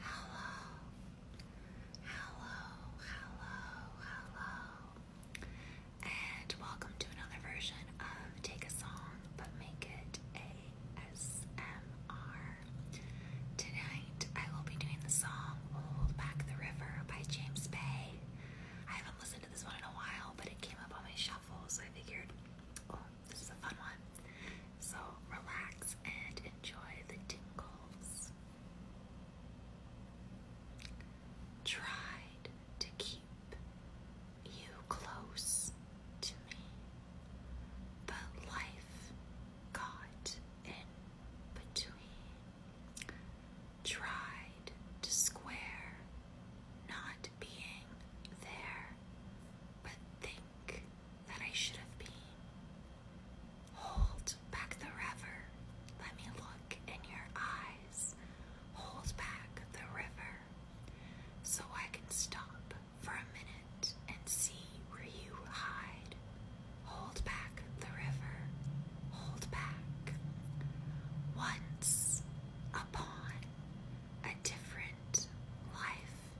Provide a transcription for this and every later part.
Hello, hello, hello, hello, and welcome to another version of Take a Song but Make It ASMR. Tonight I will be doing the song Hold Back the River by James Bay. I haven't listened to this one in a while, but it came up on my shuffle, so I figured, oh, this is a fun one. So relax and enjoy the tingles. Tried to keep you close to me, but life got in between. Tried to square not being there, but think that I should have been. Hold back the river, let me look in your eyes. Hold back the river so I can stop for a minute and see where you hide. Hold back the river, hold back. Once upon a different life,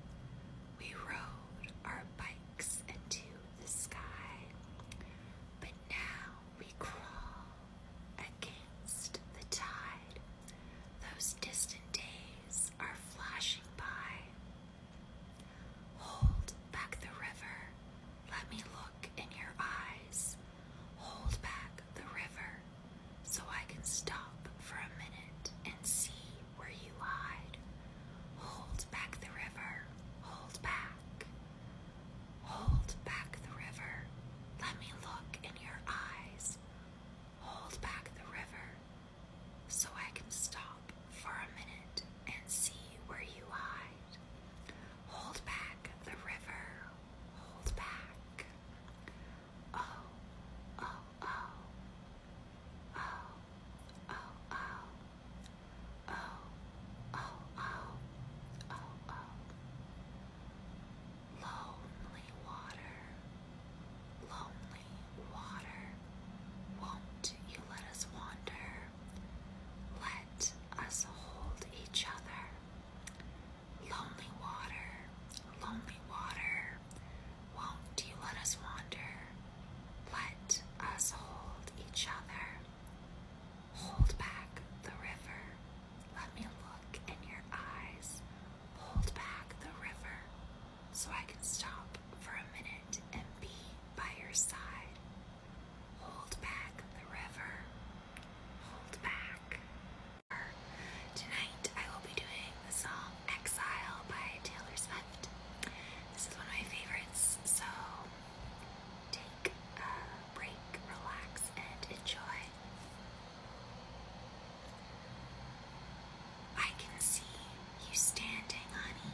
we rode our bikes into the sky, but now we crawl against the tide. Those distant days are flashing by. Hold back the river, let me look in your eyes. Hold back the river, so I can stop for a minute and see where you hide. Hold back the river, hold back. Hold back the river, let me look in your eyes. Hold back the river, so I can stop for a minute and see where you hide. Hold back the river, hold back. Oh, oh, oh, oh, oh, oh, oh, oh, oh, oh, Lonely water, lonely water, won't you let us wander? Let us hold each other. Lonely water, lonely water, won't you let us wander? Let us hold each other. Hold back the river. Let me look in your eyes. Hold back the river so I can stop for a minute and be by your side. Hold back the river. Hold back. Tonight I will be doing the song Exile by Taylor Swift. This is one of my favorites, so take a break, relax, and enjoy. I can see you standing, honey,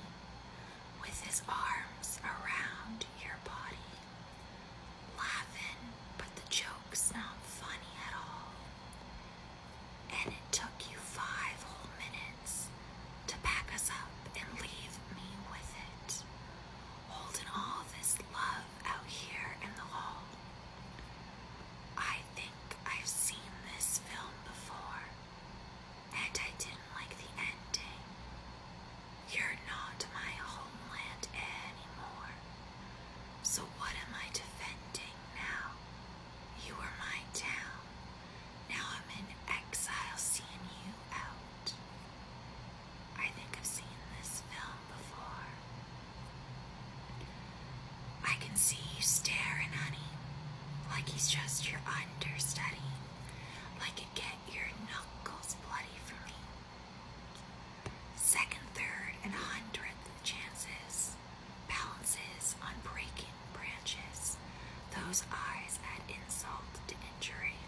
with his arms around your body, laughing, but the joke's not funny at all and it took you five whole minutes to pack us up and leave me with it, holding all this love out here in the hall. I think I've seen this film before, and I didn't like the ending. You're not my homeland anymore. So, what am I defending now? You were my town. Now I'm in exile seeing you out. I think I've seen this film before. I can see you staring, honey, like he's just your understudy, I could get your knuckles bloody for me. Second, third, and hundredth chances balances on breaking branches, those eyes add insult to injury.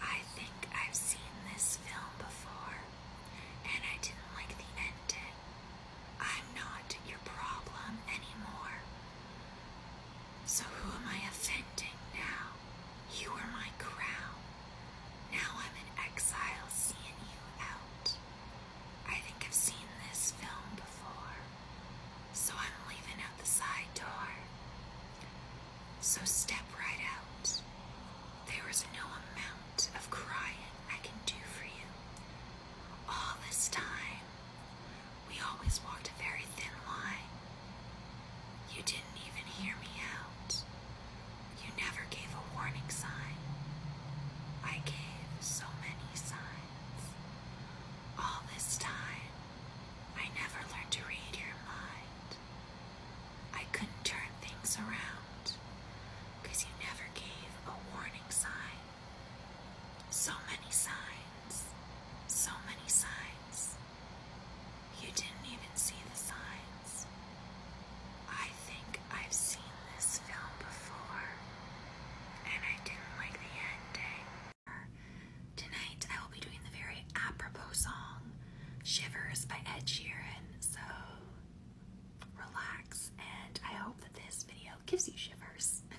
I think I've seen this film before, and I didn't like the ending. I'm not your problem anymore. So who am I offending now? You were my crown. Now I'm an exile seeing you out. I think I've seen this film before, so I'm leaving out the side door. So step right out. There is no amount of crying I can do for you. All this time, we always walked a very thin line. You didn't even hear me out. You never gave a warning sign. I gave so many signs. All this time, I never learned to read your mind. I couldn't turn things around you never gave a warning sign. So many signs. So many signs. You didn't even see the signs. I think I've seen this film before and I didn't like the ending. Tonight I will be doing the very apropos song Shivers by Ed Sheeran. So relax and I hope that this video gives you shivers.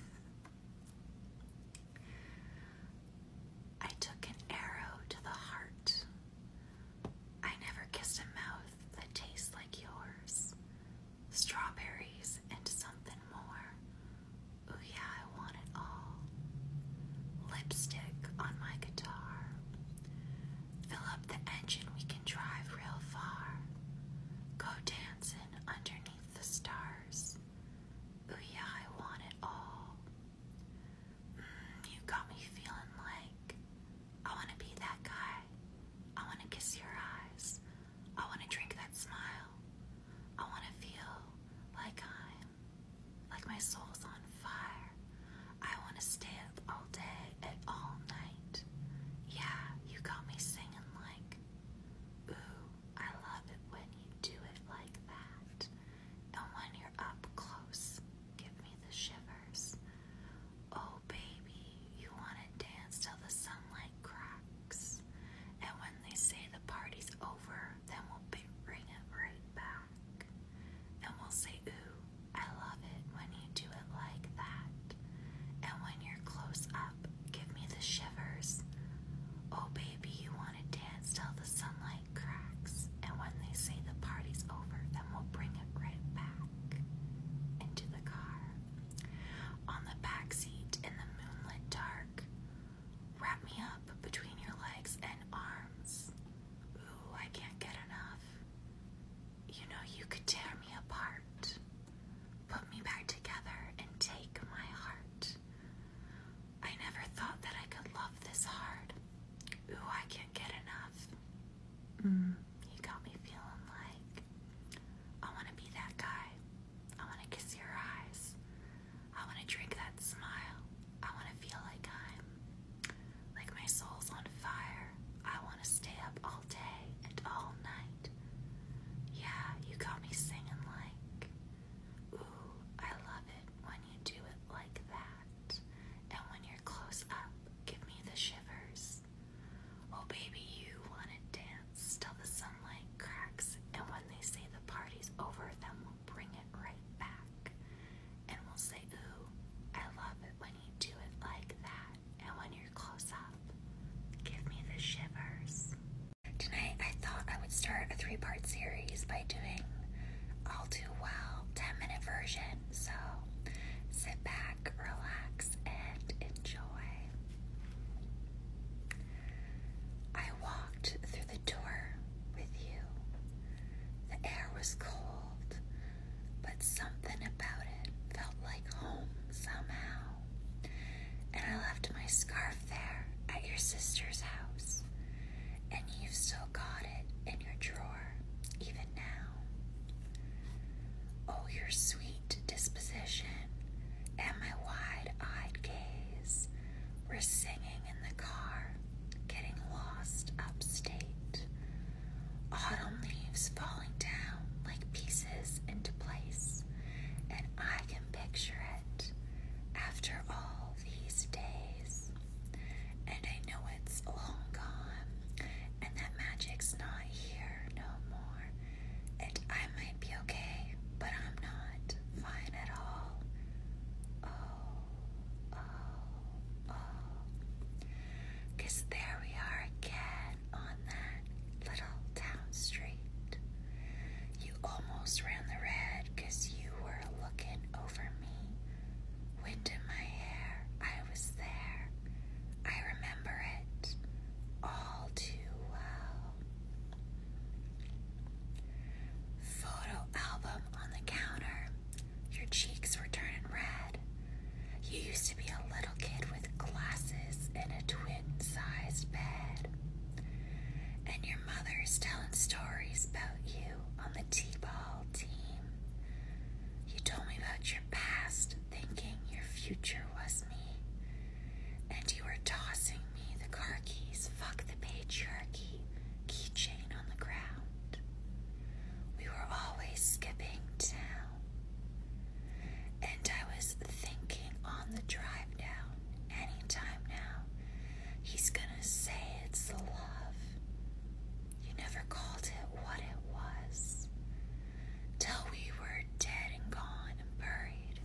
I took an arrow to the heart I never kissed a mouth that tastes like yours. Strawberries and something more. Oh, yeah, I want it all. Lipstick on my guitar. Fill up the engine, we can drive real far. Go dancing underneath the stars. Oh, yeah, I want it all. Mm, you got me feeling like I want to be that guy. I want to kiss your eyes. I want to drink that smile. I want to feel like I'm, like my soul's on fire. I want to stay up all day and all night. Yeah, you got me singing like, ooh, I love it when you do it like that. And when you're up close, give me the shivers. Oh, baby, you want to dance till the sunlight cracks. And when they say the party's over, then we'll bring it right back. And we'll say, Ooh, I love it when you do it like that. And when you're close up, give me the shivers. Oh, baby, you want to dance till the sunlight cracks. And when they say the party's over, then we'll bring it right back into the car. On the back seat in the moonlit dark, wrap me up between your legs and arms. Ooh, I can't get enough. You know, you could tear me apart. Put me back together and take my heart. I never thought that I could love this hard. Ooh, I can't get enough. Mm you got me feeling like I want to be that guy. I want to kiss your eyes. I want to drink that smile. I want to feel like I'm like my soul's on fire. I want to stay up all day and all night. Yeah, you got me singing like, Ooh, I love it when you do it like that. And when you're close up, give me the shivers. Oh, baby, you wanna dance till the sunlight cracks, and when they say the party's over, then we'll bring it right back. And we'll say, Ooh, I love it when you do it like that, and when you're close up. Give me the shivers. Tonight, I thought I would start a three part series by doing I'll Do Well 10 minute version so sit back, relax, and enjoy. I walked through the door with you. The air was cold, but something about it felt like home somehow. And I left my scarf there at your sister's house, and you still got it in your drawer before, even now. Oh, your sweet disposition and my wide eyed gaze were singing in the car, getting lost upstate. Autumn leaves falling down like pieces into place, and I can picture it after all these days and I know it's long gone, and that magic's not here no more. And I might be okay, but I'm not fine at all. Oh, oh, oh. Cause there we are again on that little town street. You almost ran the red cause you were looking over me. Wind in my hair, I was there. I remember it all too well. Photo album on the counter. Your cheeks were turning red. You used to be a little kid with glasses in a twin sized bed. And your mother's telling stories about you on the T ball team. You told me about your past thinking your future was me. And you were tossing me the car keys, fuck the patriarchy, keychain on the ground. We were always skipping town. And I was thinking on the drive down, anytime now, he's gonna say it's the love. You never called it what it was. Till we were dead and gone and buried.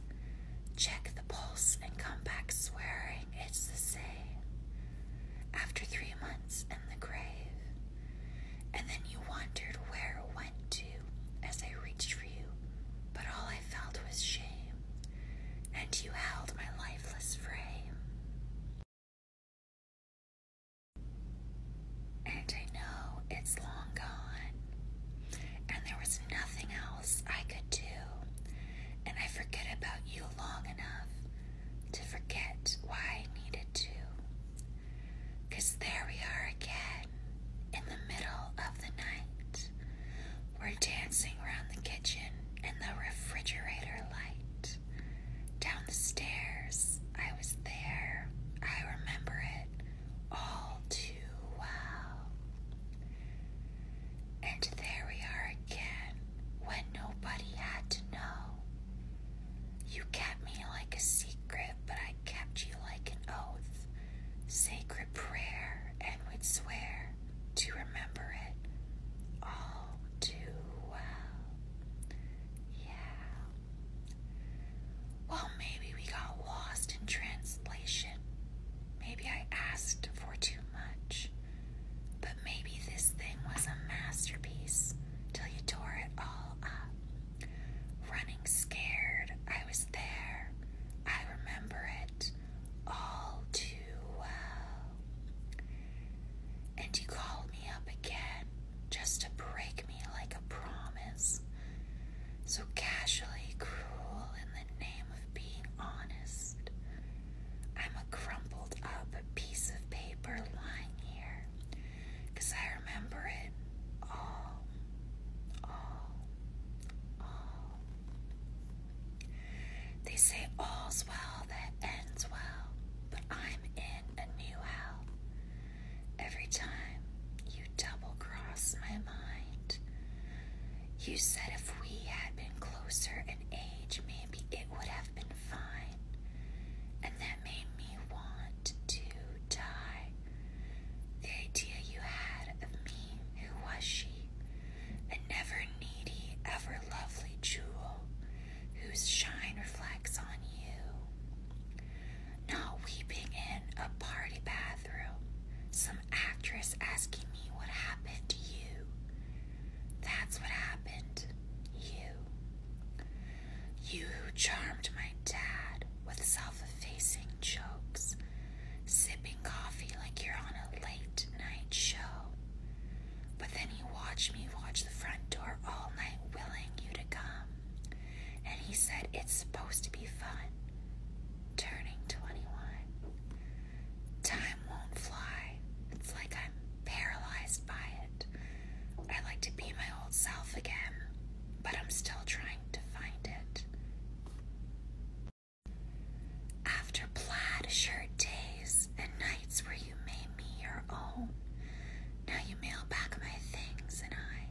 Check the pulse and come back swearing it's the same. After three months in the grave. And then you wondered where it went to as I reached for you. But all I felt was shame. And you held my lifeless frame. And I know it's long gone, and there was nothing else I could do, and I forget about you long enough to forget why I needed to. Cause there we are again, in the middle of the night. We're dancing around the kitchen in the refrigerator light. Down the stairs. I was there. I remember it all too well. And there we are again when nobody had to know. You kept me like a secret, but I kept you like an oath, sacred prayer, and would swear to remember it all too well. Yeah. Well, maybe we got lost in translation. Maybe I asked for too much. But maybe this thing was a masterpiece till you tore it all up. Running scared, I was there. I remember it all too well. And you called me up again just to break me like a promise. So casually cruel in the name of being honest. I'm a crumpled up piece of paper lying here, 'cause I remember it all, all, all. They say all's well that ends well, but I'm in a new hell. Every time you double cross my mind, you said if we had been closer in age, maybe it would have been fine. And that made me want to die. The idea you had of me, who was she? A never needy, ever lovely jewel, whose shine reflects on you. Not weeping in a party bathroom, some actress asking me what happened to you. That's what happened, you. You who charmed my dad with self effacing jokes, sipping coffee like you're on a late night show, but then he watched me watch the front door all night, willing you to come. And he said, It's supposed to be fun. Turning 21. Time won't fly. It's like I'm paralyzed by it. I would like to be my old self again, but I'm still trying to find it. After plaid shirt days and nights where you made me your own. Now you mail back my things and I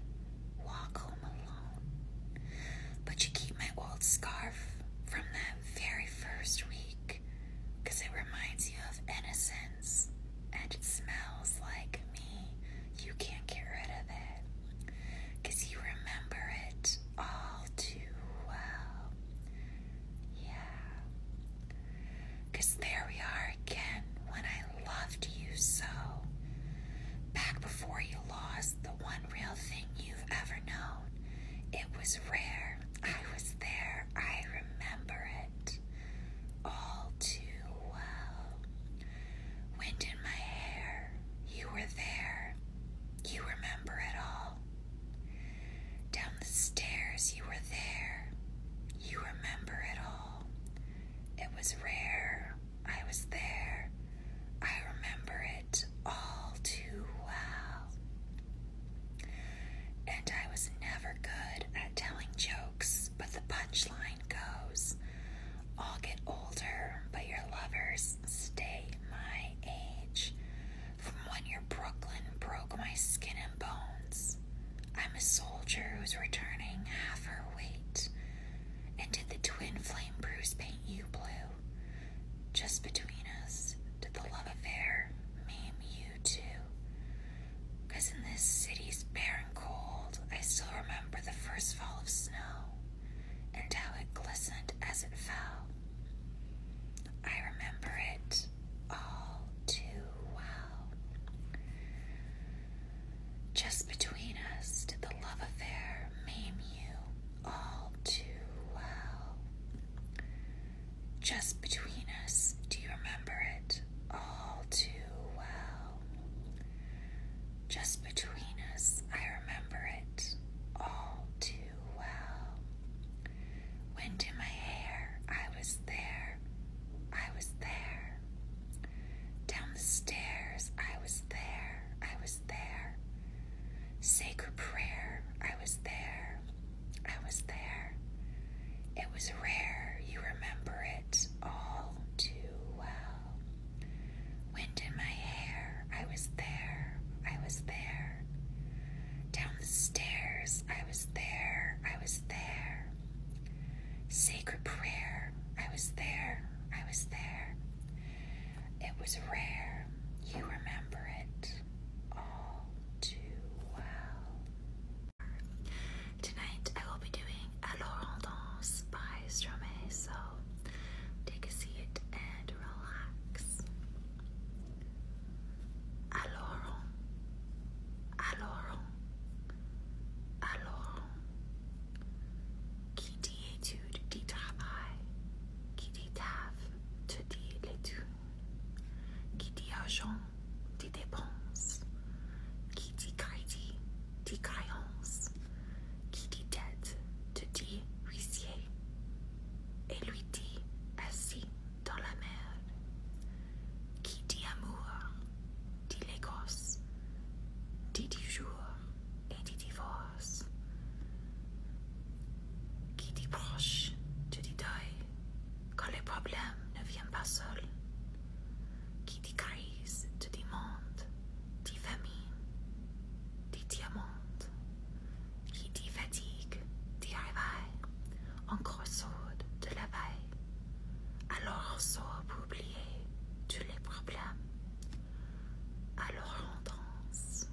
walk home alone. But you keep my old scarf from that very first week because it reminds you of innocence and it smells like me. You can't get rid of it because you remember it all too well. Yeah. Because there we are again when I loved you so. Back before you lost the one real thing you've ever known. It was rare. I was there. I remember it all too well. Wind in my hair. You were there. You remember it all. Down the stairs, you were there. You remember it all. It was rare. I was there. I remember it all too well. And I was never good at telling jokes, but the punchline goes I'll get older, but your lovers stay my age. From when your Brooklyn broke my skin and bones, I'm a soldier who's returning half her weight. And did the twin flame bruise paint you blue? Just between us, did the love affair maim you too? Cause in this city's bare and cold, I still remember the first fall of snow and how it glistened as it fell. I remember it all too well. Just between us did the love affair maim you all too well. Just between us do you remember it all too well. Just between us I remember it all too well. Wind in my hair, I was there, I was there. Down the stairs, I was there, I was there. Sacred prayer, I was there, I was there. It was rare, you remember it all too well. Wind in my hair, I was there, I was there. Down the stairs, I was there, I was there. Sacred prayer, I was there, I was there. It was rare, you remember it all too well. Tonight I will be doing Alors by Stromae, so take a seat and relax. alors, alors, alors, qui dit étude dit travail, qui dit taf te dit l'étude, qui dit argent dit dépenses, qui dit crédit dit créance, qui dit dette te dit huissier, et lui dit ainsi dans la mer. Qui dit amour, dit l'Écosse, dit du jour et dit divorce. Qui dit proche, te dit deuil, quand les problèmes ne viennent pas seuls. Qui dit crise, te dit monde, dit famine, dit diamant. Qui dit fatigue, dit réveil en crossode de la veille. Alors on pour oublier tous les problèmes. Alors Alors on danse.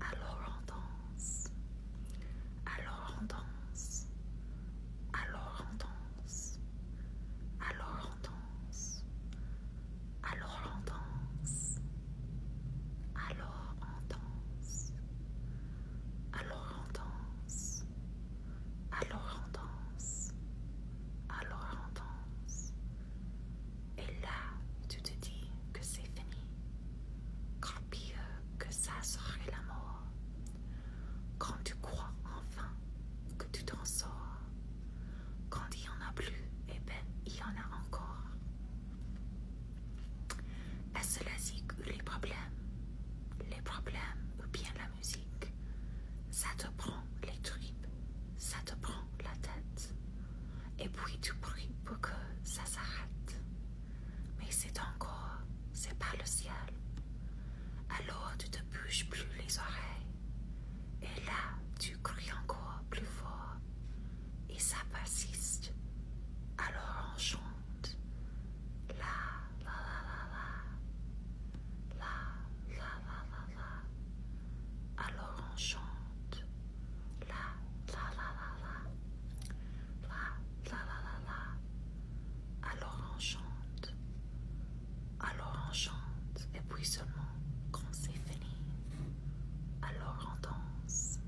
Alors on danse. Alors on danse. Alors on danse. Alors on danse. Alors on danse. Alors on danse alors on danse, alors on danse, alors on danse. Et là, tu te dis que c'est fini, quand pire que ça serait la mort. Quand tu crois enfin que tu t'en sors, quand il n'y en a plus, et eh ben il y en a encore à cela zig les problèmes, les problèmes ou bien la musique. Ça te prend les tripes, ça te prend la tête, et puis tu pries pour que ça s'arrête. Mais c'est encore, c'est par le ciel. Alors tu te bouges plus les oreilles, et là tu cries encore plus fort, et ça persiste. Alors en chante la la la la la la la la la la alors on chante la la la la la la la la la la alors on chante alors on chante et puis seulement quand c'est fini alors on danse